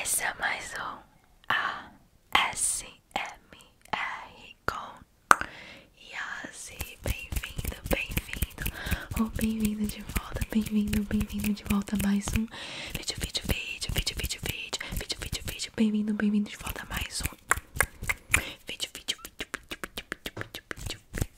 Esse é mais um ASMR com Yasi. Bem-vindo, bem-vindo. Ou oh, bem-vindo de volta, bem-vindo, bem-vindo de volta a mais um vídeo, vídeo, vídeo, vídeo, vídeo, vídeo, vídeo, vídeo, vídeo. Bem-vindo, bem-vindo de volta a mais um vídeo, vídeo, vídeo, vídeo, vídeo, vídeo, vídeo, vídeo, vídeo,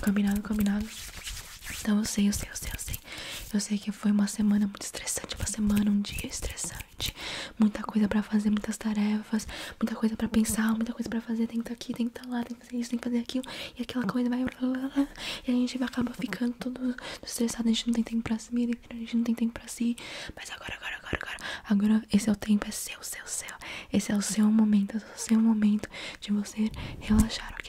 Combinado, combinado. Então eu sei, eu sei, eu sei, eu sei. Eu sei que foi uma semana muito estressante, uma semana, um dia estressante. Muita coisa para fazer, muitas tarefas, muita coisa para pensar, muita coisa para fazer, tem que estar tá aqui, tem que estar tá lá, tem que fazer isso, tem que fazer aquilo, e aquela coisa vai. E a gente acaba ficando todo estressado, a gente não tem tempo pra si, a gente não tem tempo pra si. Mas agora, agora, agora, agora, agora, esse é o tempo, é seu, seu, seu. Esse é o seu momento, é o seu momento de você relaxar, ok?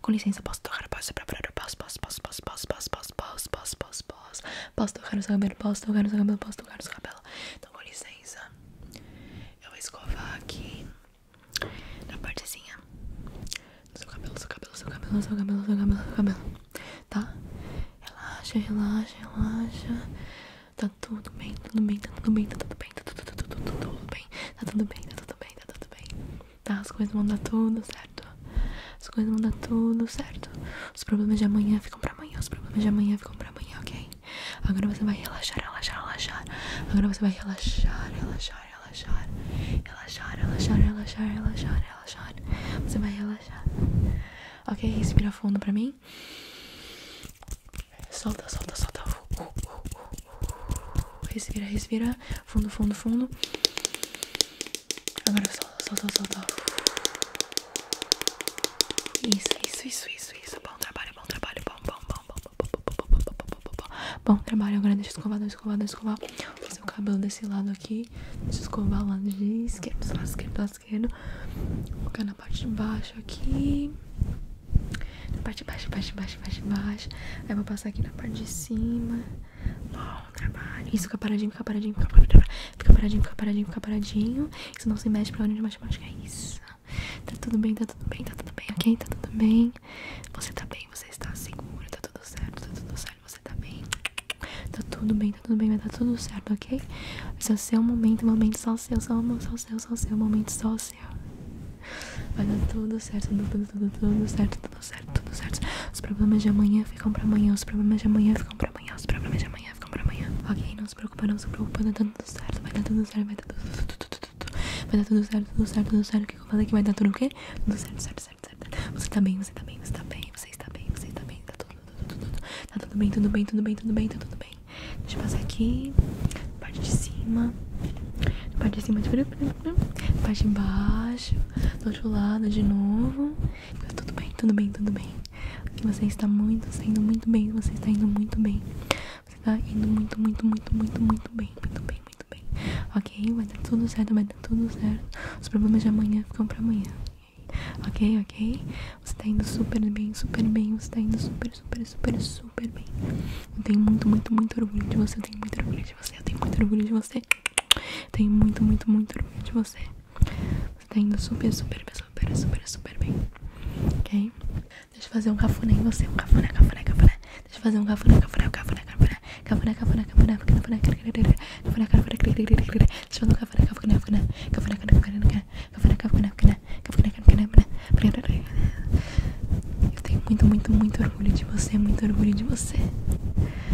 Com licença, posso tocar, posso preparar, posso, posso, posso, posso, posso, posso, posso, posso, posso, posso, posso, posso tocar o seu cabelo, posso tocar o seu cabelo, posso tocar o seu cabelo. Então, com licença, eu vou escovar aqui na partezinha do seu cabelo, seu cabelo, seu cabelo, seu cabelo, seu cabelo, seu cabelo, tá? Relaxa, relaxa, relaxa. Tá tudo bem, tudo bem, tudo bem, tudo bem, tá tudo bem, tá tudo bem, tá tudo bem, tá tudo bem, tá tudo bem tá? As coisas vão dar tudo certo. As coisas vão dar tudo certo. Os problemas de amanhã ficam pra amanhã. Os problemas de amanhã ficam pra amanhã, ok? Agora você vai relaxar, relaxar, relaxar. Agora você vai relaxar, relaxar, relaxar. Relaxar, relaxar, relaxar, relaxar, relaxar. Você vai relaxar. Ok? Respira fundo pra mim. Solta, solta, solta. Uh, uh, uh, uh, uh. Respira, respira. Fundo, fundo, fundo. Agora solta, solta, solta. Isso, isso, isso, isso, isso. Bom trabalho, bom trabalho. Bom, bom, bom, bom, bom, bom, bom, bom, bom, bom, bom. Bom trabalho. Agora deixa escovar, deixa escovar, deixa escovar. Vou fazer o cabelo desse lado aqui. Deixa escovar lado de esquerda, lado esquerdo, lado esquerdo. Colocar na parte de baixo aqui. Na parte de baixo, baixo, baixo, baixo, baixo. Aí vou passar aqui na parte de cima mal trabalho. Isso, fica paradinho, fica paradinho, fica paradinho, fica paradinho, fica paradinho, fica paradinho. Isso não se mexe pra hora de matemática, é isso. Tá tudo bem, tá tudo bem, tá tudo bem, ok? Tá tudo bem. Você tá bem, você está seguro, tá tudo certo, tá tudo certo, você tá bem. Tá tudo bem, tá tudo bem, vai dar tudo certo, ok? Esse é o seu momento, é momento só o seu, só, só seu, só o seu, é momento só o seu. Vai dar tudo certo, tudo, tudo, tudo, tudo certo, tudo certo, tudo certo. Os problemas de amanhã ficam pra amanhã, os problemas de amanhã ficam pra amanhã, os problemas de amanhã ficam pra amanhã. Ok, não se preocupa, não se preocupa, tá tudo certo, vai dar tudo certo, vai dar tudo certo. Vai dar tudo certo, tudo certo, tudo certo. O que eu falei que vai dar tudo o quê? Tudo certo, tudo certo, tudo certo. Você tá bem, você tá bem, você tá bem, você está bem, você está bem, tá tudo, tá bem, tudo bem, tudo bem, tudo bem, tá tudo bem. Deixa eu passar aqui, parte de cima, parte de cima, de parte de baixo do outro lado de novo. Tá tudo bem, tudo bem, tudo bem. Você está muito, está indo muito bem. Você está indo muito bem. Você está indo muito, muito, muito, muito, muito bem. Muito bem, muito bem. Ok, vai dar tudo certo, vai dar tudo certo. Os problemas de amanhã ficam para amanhã. Ok, ok? Você está indo super bem, super bem. Você está indo super, super, super, super bem. Eu tenho muito, muito, muito orgulho de você. Eu tenho muito orgulho de você. Eu tenho muito orgulho de você. Tenho muito, muito, muito orgulho de você. Você está indo super, super, super, super, super bem. Ok? Deixa eu fazer um cafuné em você. Um cafuné, cafuné, cafuné. Deixa eu fazer um cafuné, cafuné, cafuné, cafuné. Cafuné, cafuné, cafuné, cafuné, cafuné, cafuné, cafuné, cafuné, cafuné, Deixa eu fazer um cafuné, cafuné, cafuné. Cafuné, cafuné, cafuné, cafuné, cafuné, cafuné, cafuné, cafuné, cafuné. Eu tenho muito, muito, muito orgulho de você. Muito orgulho de você.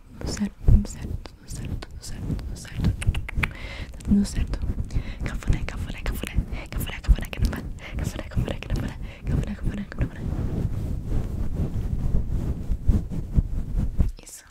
tudo certo, tudo certo, tudo certo, tudo certo, tudo certo. Tá tudo certo. Cafuné, cafuné, cafuné. Cafuné, cafuné, que não vai. Cafuné, cafuné, que não vai. Cafuné, cafuné, que não vai. Isso.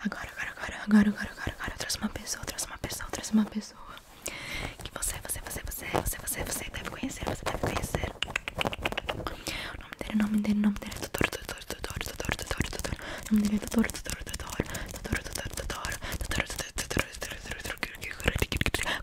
Agora, agora, agora, agora, agora, agora, agora. Eu trouxe uma pessoa, traz uma pessoa, traz uma pessoa. Que você, você, você, você, você, você, você deve conhecer, você deve conhecer o nome dele, nome dele, nome dele é Doutor, doutor, doutor, doutor, doutor, doutor, o nome dele é doutor, doutor, doutor, doutor, doutor, doutor, doutor, doutor, doutor,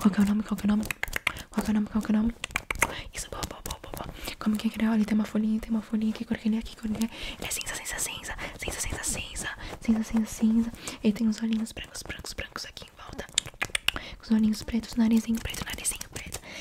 qual que é o nome, qual que é o nome, qual que é o nome, qual que é o nome, isso, boa, boa, boa, boa, como que é que ele, olha, tem uma folhinha, tem uma folhinha, que cor que ele é, que cor é, ele cinza, cinza, cinza, cinza, cinza, cinza, cinza, cinza, cinza, ele tem os olhinhos brancos, brancos, brancos aqui em volta, os olhinhos pretos, narizinho preto, narizinho preto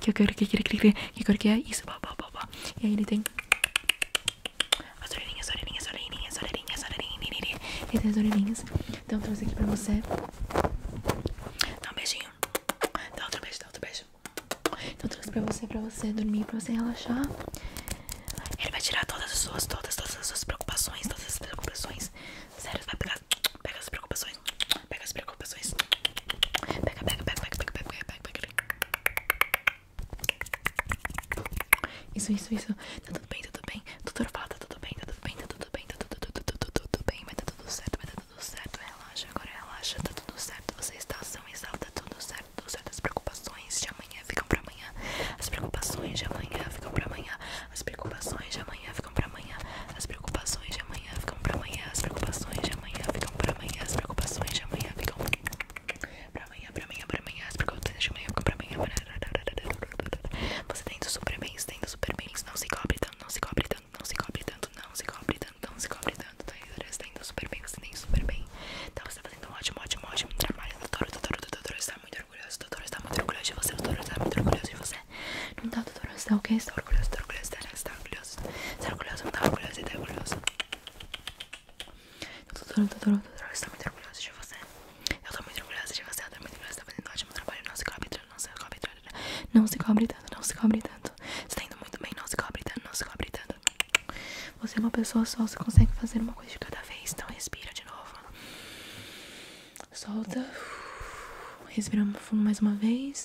que eu quero, que eu quero, que eu quero, que é isso, blá, blá, blá, E aí ele tem as orelhinhas, orelhinhas, orelhinhas, orelhinhas, orelhinhas, ele tem as orelhinhas. Então eu trouxe aqui pra você. Dá um beijinho, dá outro beijo, dá outro beijo. Então eu trouxe pra você, pra você dormir, pra você relaxar. Ele vai tirar todas as suas, todas, todas as suas preocupações, todas as preocupações. Sério, vai pegar, pega as preocupações Pega as preocupações. Pega, pega, pega, pega, pega, pega, pega, pega. Isso, isso, isso. Tá tudo bem, tá tudo bem. Doutor fala, tá tudo bem, tá tudo bem, tá tudo bem, tá tudo, tudo, tudo, tudo bem, vai tá tudo certo, vai tá tudo certo. Relaxa, agora relaxa, tá tudo certo. Você está ação exalta, tá tudo certo, tudo certo. As preocupações de amanhã ficam pra amanhã. As preocupações de amanhã ficam pra amanhã. As preocupações de amanhã ficam pra amanhã. As preocupações de amanhã amanhã ficam pra amanhã, as preocupações amanhã ficam pra amanhã, as preocupações amanhã ficam pra amanhã, pra amanhã, pra amanhã, as preocupações de amanhã ficam pra amanhã. Você tem indo super bem, você tem indo super bem, não se cobre tanto, não se cobre tanto, não se cobre tanto, não se cobre tanto, não se cobre tanto, tá? indo super bem, você tem super bem. Então você tá fazendo um ótimo, ótimo, ótimo trabalho. Doutor, doutor, doutor, está muito orgulhoso, doutor, está muito orgulhoso de você, doutor, está muito orgulhoso de você. Não tá, doutor, você ok? Você orgulhoso, doutor, orgulhoso, você orgulhoso orgulhosa. Você é orgulhosa, não tá orgulhosa, você tá orgulhosa. Eu tô, tô, tô, tô, tô, tô, estou muito orgulhosa de você. Eu tô muito orgulhosa de você, eu tô muito orgulhosa, tá fazendo um ótimo trabalho. Não se cobre tanto, não se cobre tanto, né? Não se cobre tanto, não se cobre tanto. Você tá indo muito bem, não se cobre tanto, não se cobre tanto. Você é uma pessoa só, você consegue fazer uma coisa de cada vez. Então respira de novo. Solta. Respiramos fundo mais uma vez.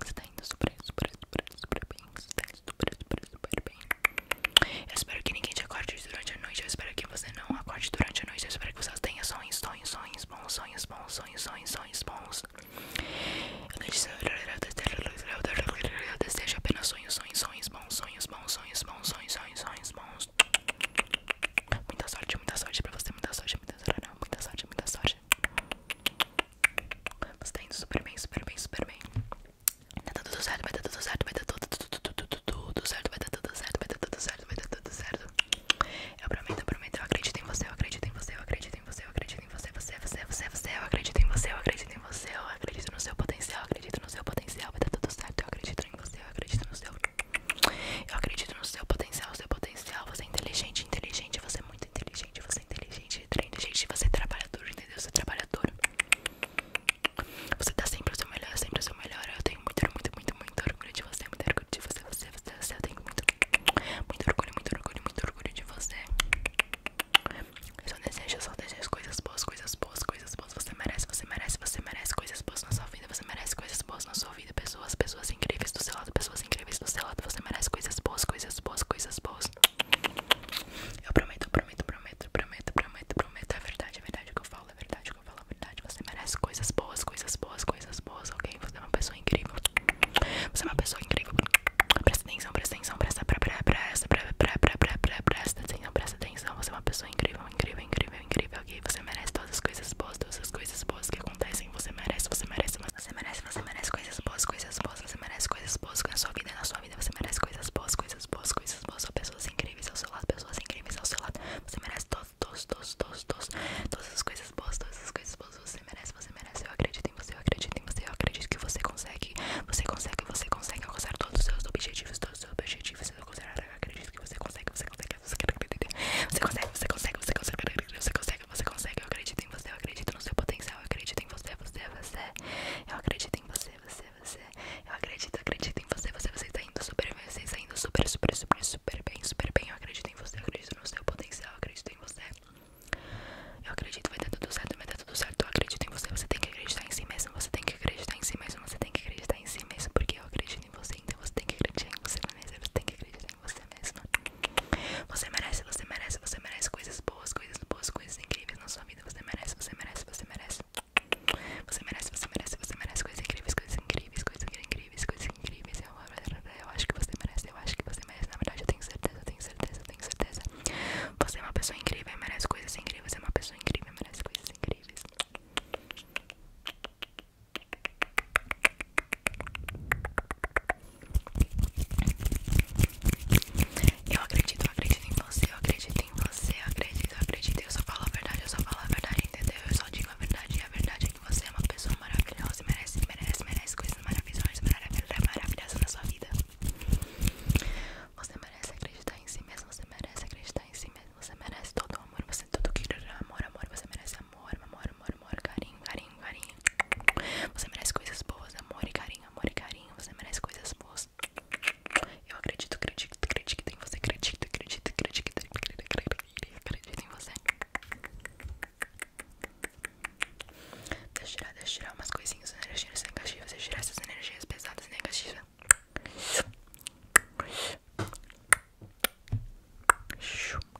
Você tá indo super, super, super, super bem. Você tá indo super, super, super bem. Eu espero que ninguém te acorde durante a noite. Eu espero que você não acorde durante a noite. Eu espero que você tenha sonhos, sonhos, sonhos, bons, sonhos, bons, sonhos, sonhos, sonhos, bons. Eu desejo apenas sonhos, sonhos, sonhos, bons, sonhos, bons, sonhos, bons, sonhos, sonhos, sonhos, bons. Muita sorte, muita sorte pra você, muita sorte, muita sorte, muita sorte, muita sorte. Você tá indo super bem, super bem, super bem. Vai dar tudo certo, vai dar tudo certo, vai dar tudo, tudo, tudo, tudo, tudo certo, vai dar tudo certo, vai dar tudo certo, vai dar tudo certo. Eu prometo, eu prometo, eu acredito em você, eu acredito em você, eu acredito em você, eu acredito em você, você, você, você, você, eu acredito em você, eu acredito em você, eu acredito no seu potencial, eu acredito no seu potencial, vai dar tudo certo, eu acredito em você, eu acredito no seu eu acredito no seu potencial, seu potencial. Você é inteligente, inteligente, você é muito inteligente, você é inteligente, inteligente, você é trabalhador, entendeu? Você é trabalhador. Você tá sempre o seu melhor, sempre o seu melhor. Eu tenho muito, muito, muito, muito orgulho de você, muito orgulho de você, você, você, Eu tenho muito, muito orgulho, muito orgulho, muito orgulho de você. Eu só desejo, eu só desejo coisas boas, coisas boas, coisas boas. Você merece, você merece, você merece coisas boas na sua vida você merece coisas boas na sua vida, pessoas, pessoas incríveis do seu lado, pessoas incríveis do seu lado, você merece coisas boas, coisas boas, coisas boas. Eu prometo, prometo, prometo, prometo, prometo, prometo. É verdade, é verdade o que eu falo, é verdade o que eu falo, é verdade. Você merece coisas boas, coisas boas, coisas boas, ok? Você é uma pessoa incrível. Você é uma pessoa incrível. Presta atenção, presta atenção, presta, presta, presta, presta, presta, presta atenção, presta atenção. Você é uma pessoa incrível, incrível, incrível incrível, incrível, ok? Você merece todas as coisas boas, todas as coisas boas que acontecem. Você merece, você merece, você merece, você merece coisas boas, coisas boas. Você merece coisas boas na sua vida, na sua vida. Você merece coisas boas, coisas boas, coisas boas. pessoas incríveis ao seu lado, pessoas incríveis ao seu lado. Você merece todos, todos, todos, todos, Todas as coisas boas, todas as coisas boas. Você merece, você merece. Eu acredito em você, eu acredito em você. Eu acredito que você consegue, você consegue, você consegue alcançar todos os seus objetivos, todos os seus objetivos. Eu acredito que você consegue, você consegue você consegue, você consegue, você consegue, você consegue, você consegue. Eu acredito em você, eu acredito no seu potencial, eu acredito em você, você, você. Eu acredito em você, você, você. Eu acredito, acredito em você, você, você está indo super bem, você está indo super, super, super, super bem, super bem. Eu acredito em você, eu acredito no seu potencial, eu acredito em você. Eu acredito, vai dar tudo certo, vai dar tudo certo. Eu acredito em você, você tem que acreditar em si mesmo, você tem que acreditar em si mesmo, você tem que acreditar em si mesmo, porque eu acredito em você, então você tem que acreditar em você mesmo, né? você tem que acreditar você mesma. Você merece, você merece, você merece coisas boas, coisas boas, coisas incríveis na sua vida. Você merece, você merece, você merece. Você merece, você merece, você merece coisas incríveis, coisas incríveis, coisas incríveis, coisas incríveis. Eu, eu acho que você merece, eu acho que você merece. Na verdade, eu tenho certeza, eu tenho certeza, eu tenho certeza. Você é uma pessoa incrível, merece coisas incríveis. Você é uma pessoa incrível, merece coisas incríveis. Eu acredito, eu acredito em você, eu acredito em você, eu acredito, eu acredito, eu só falo a verdade, eu só falo a verdade, entendeu? Eu só digo a verdade, e a verdade é que você é uma pessoa maravilhosa, merece, merece, merece coisas maravilhosas, maravilhosas, maravilhosas na sua vida. Você merece acreditar em si mesmo, você merece acreditar em si mesmo, você merece todo o amor, você tudo que amor, amor, você merece amor, amor, amor, amor, carinho, carinho, carinho. Você merece coisas boas, amor e carinho, amor e carinho. Você merece coisas boas. Eu acredito, acredito, acredito que em você, acredito, acredito, acredito, que acredito, acredito, acredito em você. Deixa eu tirar, deixa eu tirar umas coisinhas, né? energias negativas, deixa eu tirar essas energias pesadas e negativas.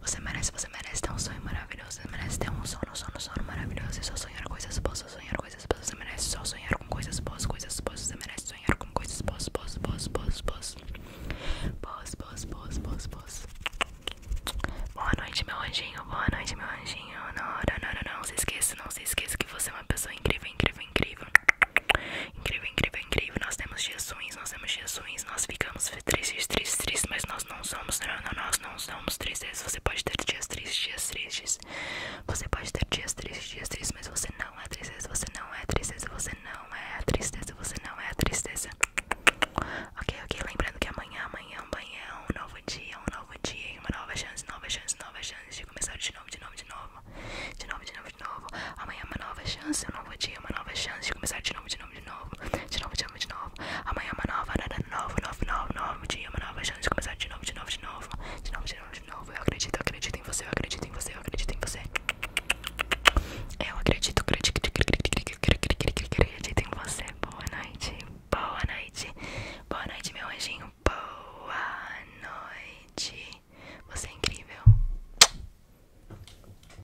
Você merece, você merece ter um sonho maravilhoso. Você merece ter um sono, sono, sono maravilhoso. E é só sonhar coisas boas, só sonhar coisas boas. Você merece só sonhar com coisas boas, coisas boas. Você merece sonhar com coisas boas, boas, boas, boas, boas. Boas, boas, boas, boas, boas. boas boas boas Boa noite, meu anjinho. Boa noite, meu anjinho. Não, não, não, não, não se esqueça, não se esqueça que você é uma pessoa incrível, incrível, incrível. Incrível, incrível, incrível. Nós temos dias ruins, nós temos dias ruins, nós ficamos tristes, tristes, tristes, mas nós não somos, não, nós não somos tristes. Você pode ter dias tristes, dias Você pode ter dias tristes, dias mas você não é tristeza, você não é tristeza, você não é tristeza, você não é tristeza. Ok, ok, lembrando que amanhã, amanhã, amanhã é um novo dia, um novo dia, uma nova chance, nova chance, nova chance de começar de novo, de novo, de novo, de novo, de novo, de novo. Amanhã é uma nova chance, um novo dia, uma nova chance de começar de novo, de novo de novo. De novo, de novo, de novo. Amanhã é uma nova, nada novo, novo, novo, novo dia, é uma nova chance de começar de novo, de novo, de novo. De novo, de novo, de novo. Eu acredito, eu acredito em você, eu acredito em você, eu acredito em você. Eu acredito, acredito, acredito em você. Boa noite, boa noite. Boa noite, meu anjinho. Boa noite. Você é incrível.